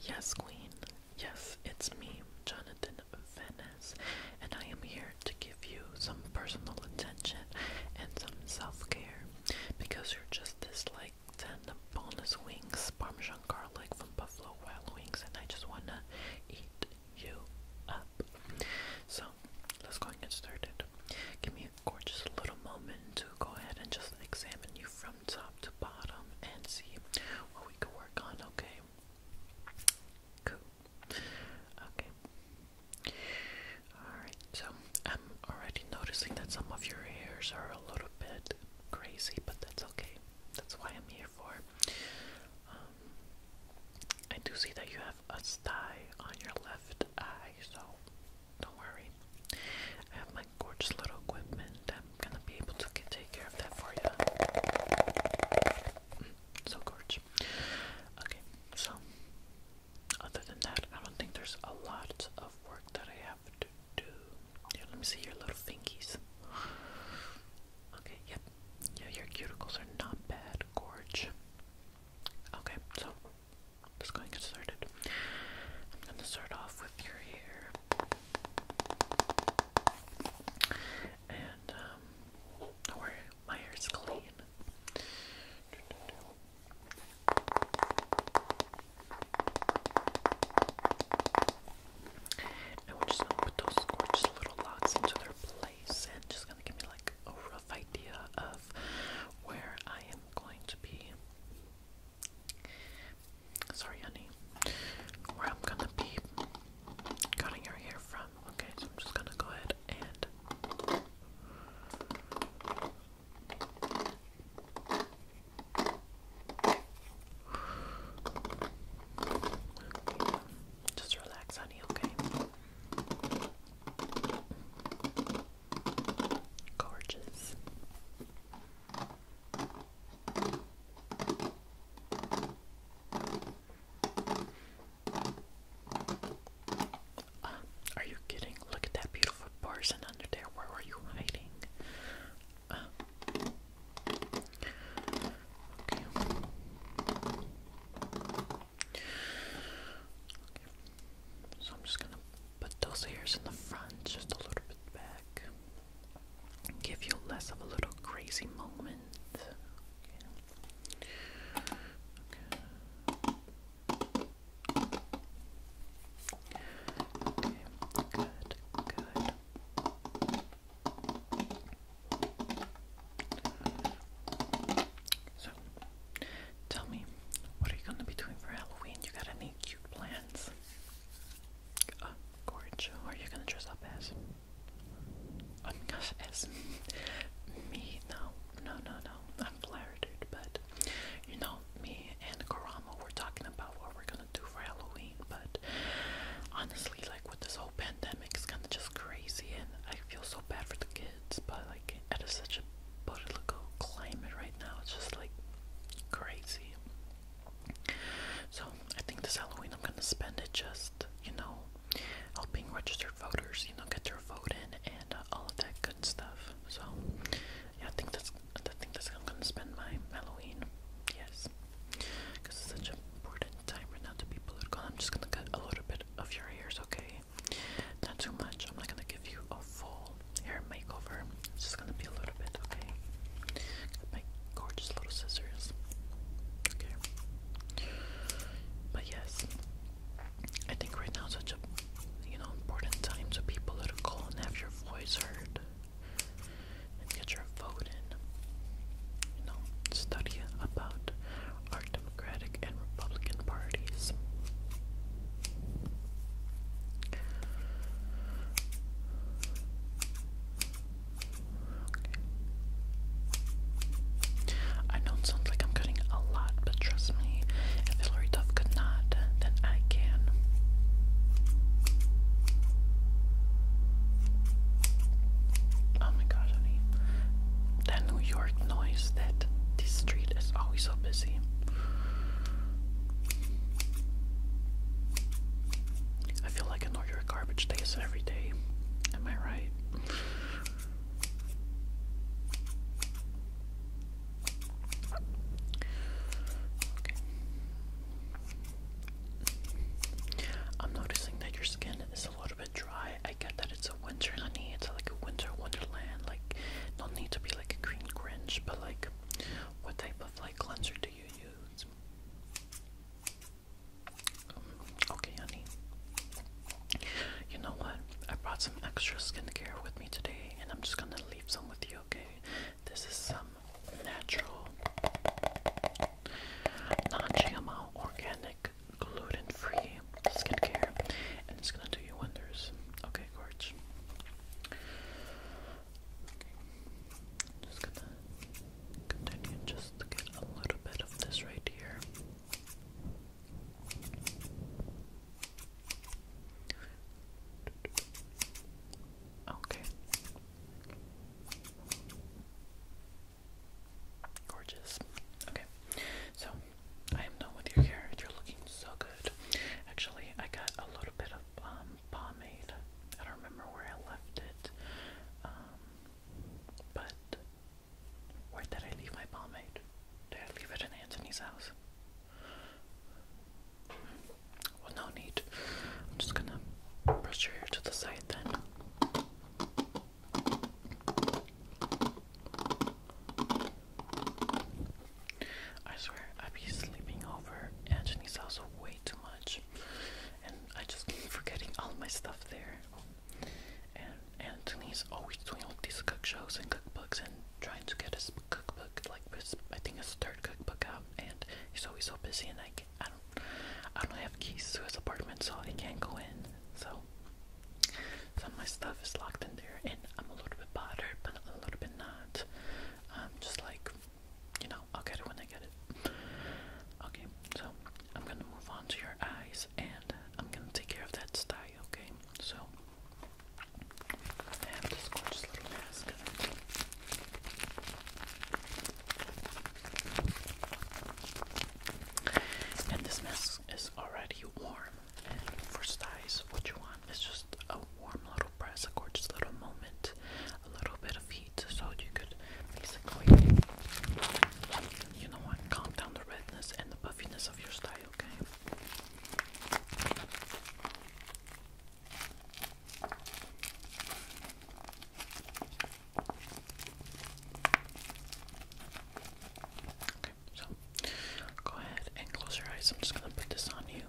Yes, Queen. Yes, it's me, Jonathan Venice, and I am here to give you some personal attention and some self care because you're just this like 10 boneless wings, Parmesan garlic from Buffalo Wild Wings, and I just want to eat you up. So let's go and get started. Give me a gorgeous little moment to go ahead and just examine you from top to bottom bottom and see what we can work on, okay? Cool. Okay. Alright, so I'm already noticing that some of your hairs are a little bit crazy, but that's okay. That's why I'm here for. Um, I do see that you have a sty on your left eye, so don't worry gorgeous little equipment. I'm gonna be able to take care of that for you. Mm, so gorgeous. Okay, so other than that, I don't think there's a lot of work that I have to do. let me see your little fingies. Okay, yep. Yeah, your cuticles are not bad, gorge. Okay, so let's go and get started. I'm gonna start off with your hair. And um don't worry, clean. And we just gonna put those little locks into their place and just gonna give me like a rough idea of where I am going to be Sorry, honey. Where I'm gonna be cutting your hair from. Okay, so I'm just gonna go ahead and. Just relax, honey, okay? Gorgeous are you kidding? Look at that beautiful person under there. Where were you hiding? okay. So I'm just gonna put those hairs in the front, just a little bit back give you less of a little crazy moment. Okay. good, good. So, tell me, what are you going to be doing for Halloween? You got any cute plans? Uh, Gorge, who are you gonna dress up as? Oh my gosh, as me? No, no, no, no. I'm flattered, but you know, me and Karamo were talking about what we're gonna do for Halloween, but honestly, like with this whole pandemic, it's kind of just crazy, and I feel so bad for the kids, but like it is such a political climate right now, it's just like crazy. So I think this Halloween I'm gonna spend it just, you know, helping registered voters, you know, get their vote in and uh, all of that good stuff. So yeah, I think that's I think that's I'm gonna spend my Halloween. Yes, because it's such a important time for now to be political. I'm just gonna cut a little bit of your hair, okay? Not too much. I'm not gonna give you a full hair makeover. It's just gonna be a little bit, okay? my gorgeous little scissors. Okay. But yes, I think right now is such a you know important time to be political and have your voice heard and get your vote in. You know, study about our Democratic and Republican parties. I know it sounds like I'm cutting a lot, but trust me, if Hillary Duff could not, then I can. Oh my gosh, That New York noise that this street is always so busy. I feel like an order of garbage days every day. Am I right? I'm noticing that your skin is a little bit dry. I get that it's a winter honey, it's like a winter wonderland. Like, no need to be like a green cringe, but like, what type of like cleanser do you use? Okay, honey. You know what? I brought some extra skincare with me today, and I'm just gonna leave some with you, okay? This is some natural, non GMO, organic, gluten free skincare, and it's gonna do you wonders. Okay, Gorge. Just gonna continue just to get a little bit of this right here. Okay. Gorgeous. Okay. So I am done with your hair. You're looking so good. Actually, I got a little bit of um um, I don't remember where I left it, um, but where did I leave my pomade? Did I leave it in Anthony's house? Well, no need. I'm just gonna brush your hair to the side then. I swear, I'd be sleeping over Antony's house way too much much. And I just keep forgetting all my stuff there. And Anthony's always doing all these cook shows and cookbooks and trying to get his cookbook, like his, I think his third cookbook out. And he's always so busy, and I, can, I don't, I don't have keys to his apartment, so I can't go in. So some of my stuff is locked in there, and I'm a little bit bothered, but a little bit not. Um, just like you know, I'll get it when I get it. Okay, so I'm gonna move on to your eyes and I'm gonna take care of that style, okay? So I have this gorgeous little mask. And this mask is already warm. And for styles, what you want is just a warm little press, a gorgeous little moment, a little bit of heat, so you could basically, you know calm down the redness and the puffiness of your style, Okay, so go ahead and close your eyes. I'm just going to put this on you.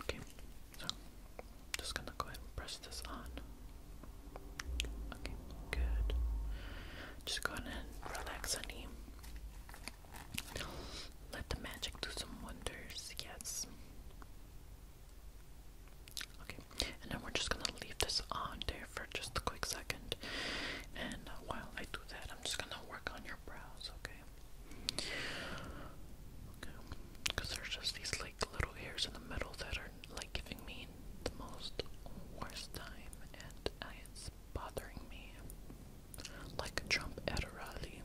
Okay, so just gonna go ahead and press this on. Okay, good. Just go ahead and relax, honey. Let the magic do some wonders, yes. Okay, and then we're just gonna leave this on there for just a quick second. And while I do that, I'm just gonna work on your brows, okay? because there's just these like little hairs in the middle that are like giving me the most worst time, and it's bothering me like Trump rally.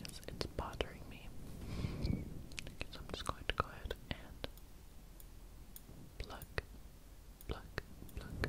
Yes, it's bothering me. so I'm just going to go ahead and pluck, pluck, pluck,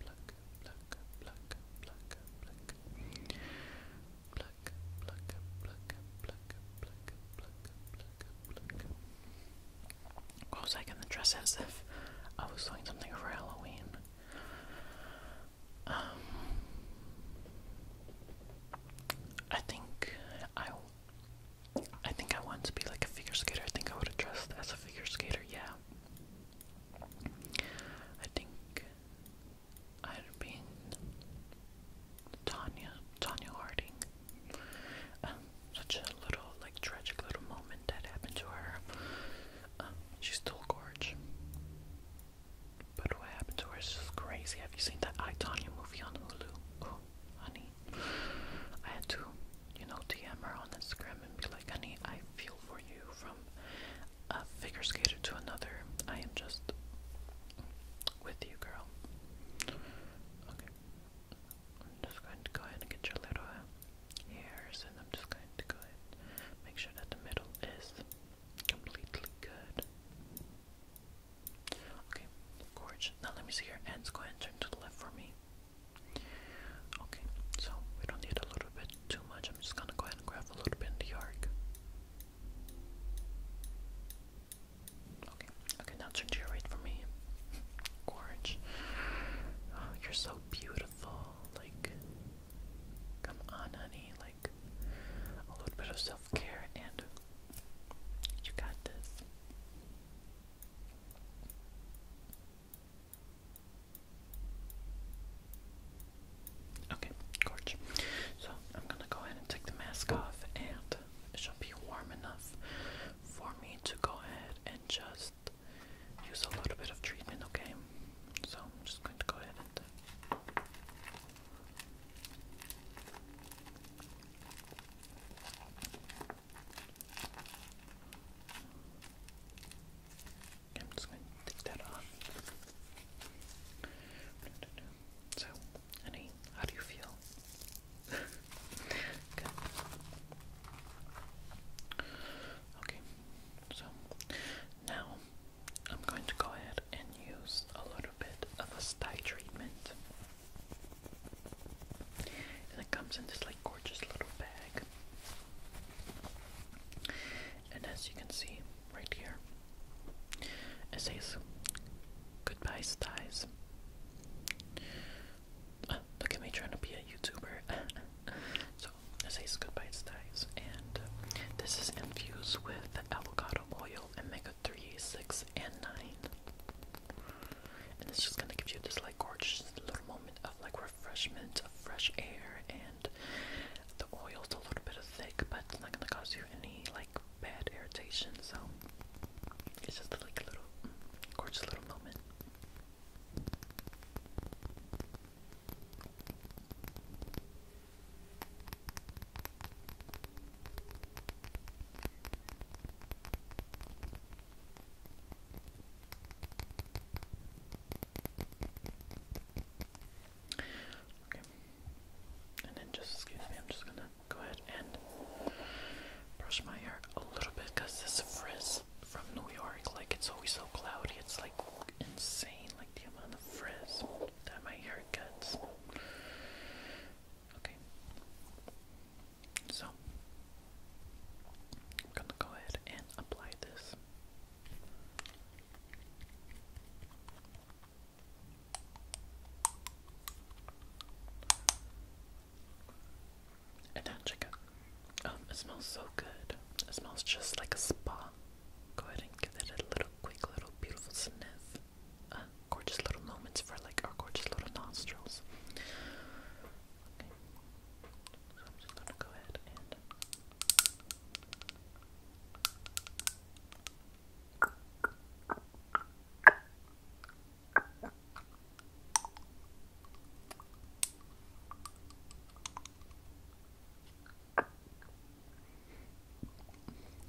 pluck, was I gonna dress as if I was doing something for Halloween? Um, I think I, I think I want to be like a figure skater. I think I would have dressed as a figure skater. Yeah, I think i have been Tanya, Tanya Harding. Um, such a little, like, tragic little moment that happened to her. Um, she's still gorge. But what happened to her is crazy. Have you seen that I, Tanya movie on Hulu? Oh, honey. I had to you know, DM her on Instagram and be like, honey, I feel for you from a figure skater to another. I am just with you, girl. Okay. I'm just going to go ahead and get your little hairs, and I'm just going to go ahead and make sure that the middle is completely good. Okay, gorge. Now let me see your hands. Go ahead and turn to the left for me. Okay, so we don't need a little bit too much. I'm just gonna go ahead and grab a little bit in the arc. Okay, okay, now turn to your right for me. Gorge. Oh, you're so beautiful. Like, come on, honey. Like, a little bit of self care, and you got this. Okay, gorge. So I'm gonna go ahead and take the mask off, and it should be warm enough for me to go ahead and just use a little bit of treatment. Okay, so I'm just going to go ahead and. I'm just going to take that off. So, honey, how do you feel? Good. Okay, so now I'm going to go ahead and use a little bit of a sty treatment. And it comes in this like gorgeous little bag. And as you can see right here, it says goodbye styes. Ah, look at me trying to be a YouTuber. so it says goodbye styes, and uh, this is infused with avocado oil, omega three, six, and nine. And it's just gonna give you this like gorgeous little moment of like refreshment of fresh air, and the oil's a little bit of thick, but it's not gonna cause you any like bad irritation. So it's just like a little mm, gorgeous little moment. Okay. And then just excuse me, I'm just gonna go ahead and brush my hair a little bit because this frizz from New York, like it's always so cloudy, it's like insane, like the amount of frizz that my hair gets. Okay. So I'm going to go ahead and apply this. And now check out. Um, it smells so good. It smells just like a spa. Go ahead and give it a little quick, little beautiful sniff. Uh, gorgeous little moments for like our gorgeous little nostrils. Okay. So I'm just gonna go ahead and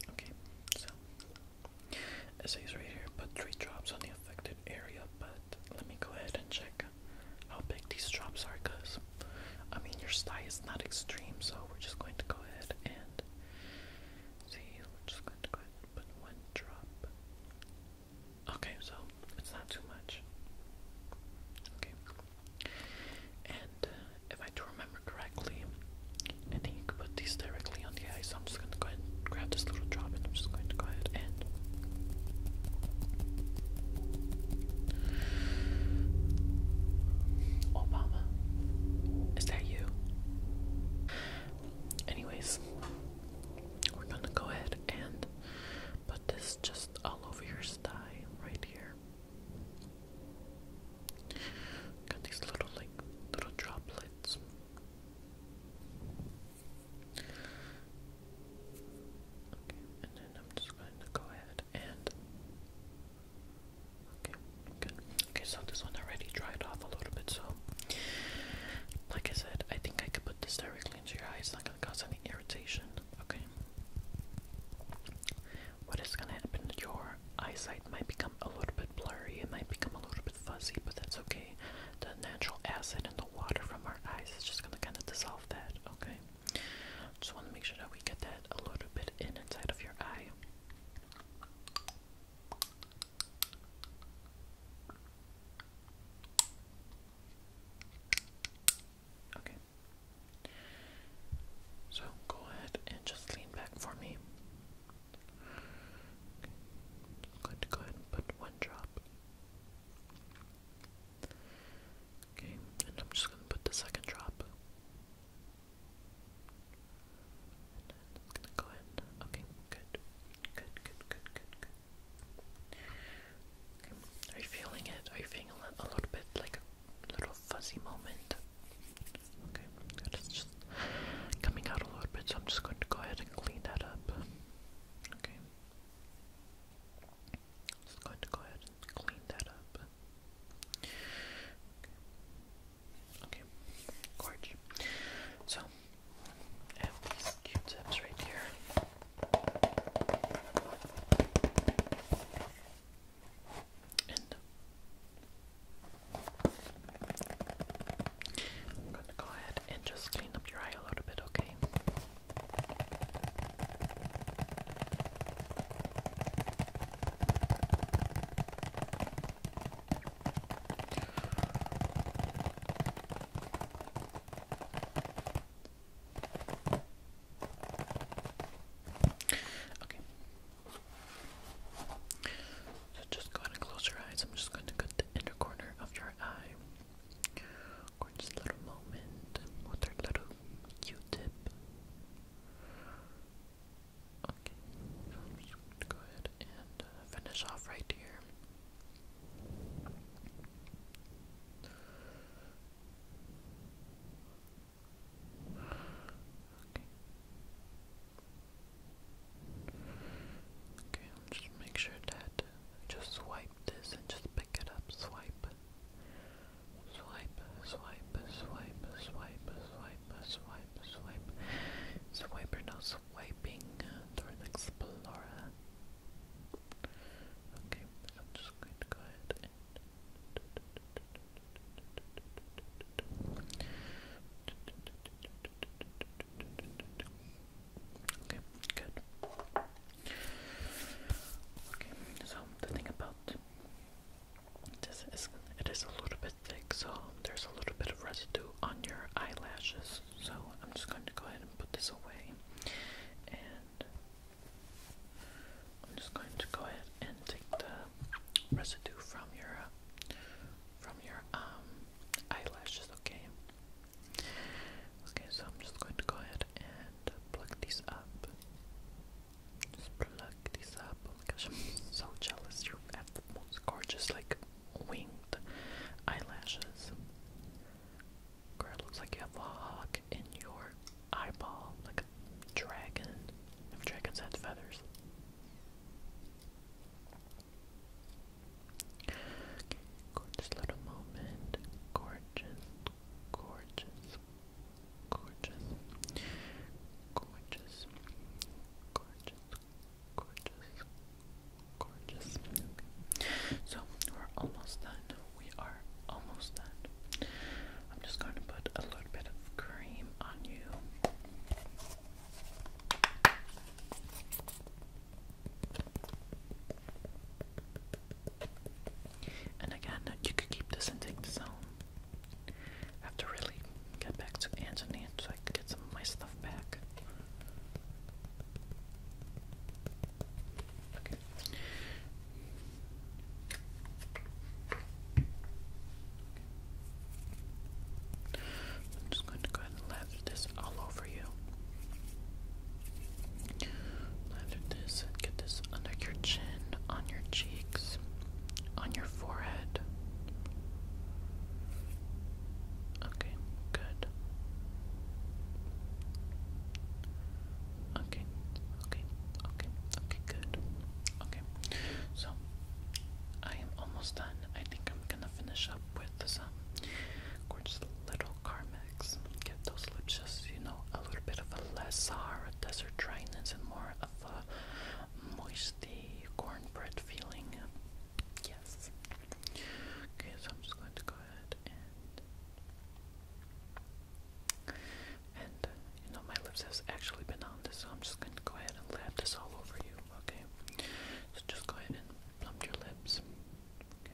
Okay, so it says right here, put three drops on the affected area, but let me go ahead and check how big these drops are because I mean your sty is not extreme so we're just going to go ahead and see we're just going to go ahead and put one drop okay so it's not too much okay and uh, if I do remember correctly I think you could put these directly on the eye so I'm just going to go ahead and grab this little drop and I'm just going to go ahead and Obama, is that you? Anyways, we're gonna go ahead and put this just all over your sty right here. Got these little like little droplets. Okay, and then I'm just going to go ahead and okay, good. Okay, so this one already dried off a little bit, so like I said, I think I could put this directly into your eye. It's not gonna cause any irritation. Okay. What is gonna happen? Your eyesight might become a little bit blurry. It might become a little bit fuzzy, but that's okay. The natural acid in the water from our eyes is just gonna kind of dissolve okay? Just want to make sure that we get that a little bit in inside of your eye. Okay. So go ahead and just lean back for me. Okay. i put one drop Okay, and I'm just gonna put the second drop. And then go in. Okay, good. Good, good, good, good, good. Okay. Are you feeling it? Are you feeling a, little bit like a little fuzzy moment? Okay, It's just coming out a little bit, so I'm just going to go ahead and clean that up. Okay. Just going to go ahead and clean that up. Okay, okay. So, I have these Q-tips right here. And I'm going to go ahead and just clean up your eye a little bit, Okay. Okay. So just go ahead and close your eyes. I'm just going to cut the inner corner of your eye. Gorgeous little moment with her little Q-tip. Okay, go ahead and uh, finish off right here. Okay. Okay, I'll just make sure that it. Just swipe this and just pick it up. Swipe. Swipe, swipe, swipe, swipe, swipe, swipe, swipe. Swiper now swiping toward Explorer. Okay, so I'm just going to go ahead and Okay, good. Okay, so the thing about this is it is a little bit thick, so there's a little bit of residue on your eyelashes. So I'm just going to go ahead and put this away, and I'm just going to go ahead and take the residue from your from your um eyelashes. Okay. Okay, so I'm just going to go ahead and plug these up. Just plug these up. Oh I'm so jealous. You have the most gorgeous, like, winged eyelashes. Girl, it looks like you have a hawk in your eyeball, like a dragon. If dragons had feathers gorgeous little moment. Gorgeous, gorgeous, gorgeous, gorgeous, gorgeous, gorgeous, gorgeous. So we're almost done. We are almost done. I'm just going to put a little bit of cream on you. And again, you could keep this and take this home. have to really get back to Anthony so I can get some of my stuff back. Okay. I'm just going to go ahead and lather this all over for this, get this under your chin, on your cheeks, on your forehead. Okay, good. Okay, okay, okay, okay, good. Okay, so I am almost done. I think I'm gonna finish up with some um, gorgeous little Carmex. Give those lips just, you know, a little bit of a less sour, a desert dryness, and more of a moisty cornbread feeling. Yes. Okay, so I'm just going to go ahead and and uh, you know my lips has actually been on this, so I'm just going to go ahead and lap this all over you. Okay. So just go ahead and plump your lips. Okay.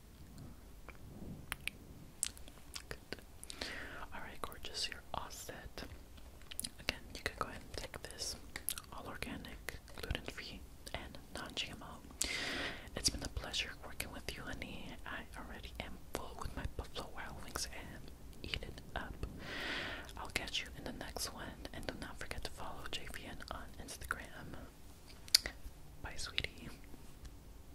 Alright, gorgeous, you're all set. Again, you can go ahead and take this. All organic, gluten free, and non GMO. It's been a pleasure working with you, honey. I already am full with my Buffalo Wild Wings and eat it up. I'll catch you in the next one, and do not forget to follow JVN on Instagram. Bye, sweetie.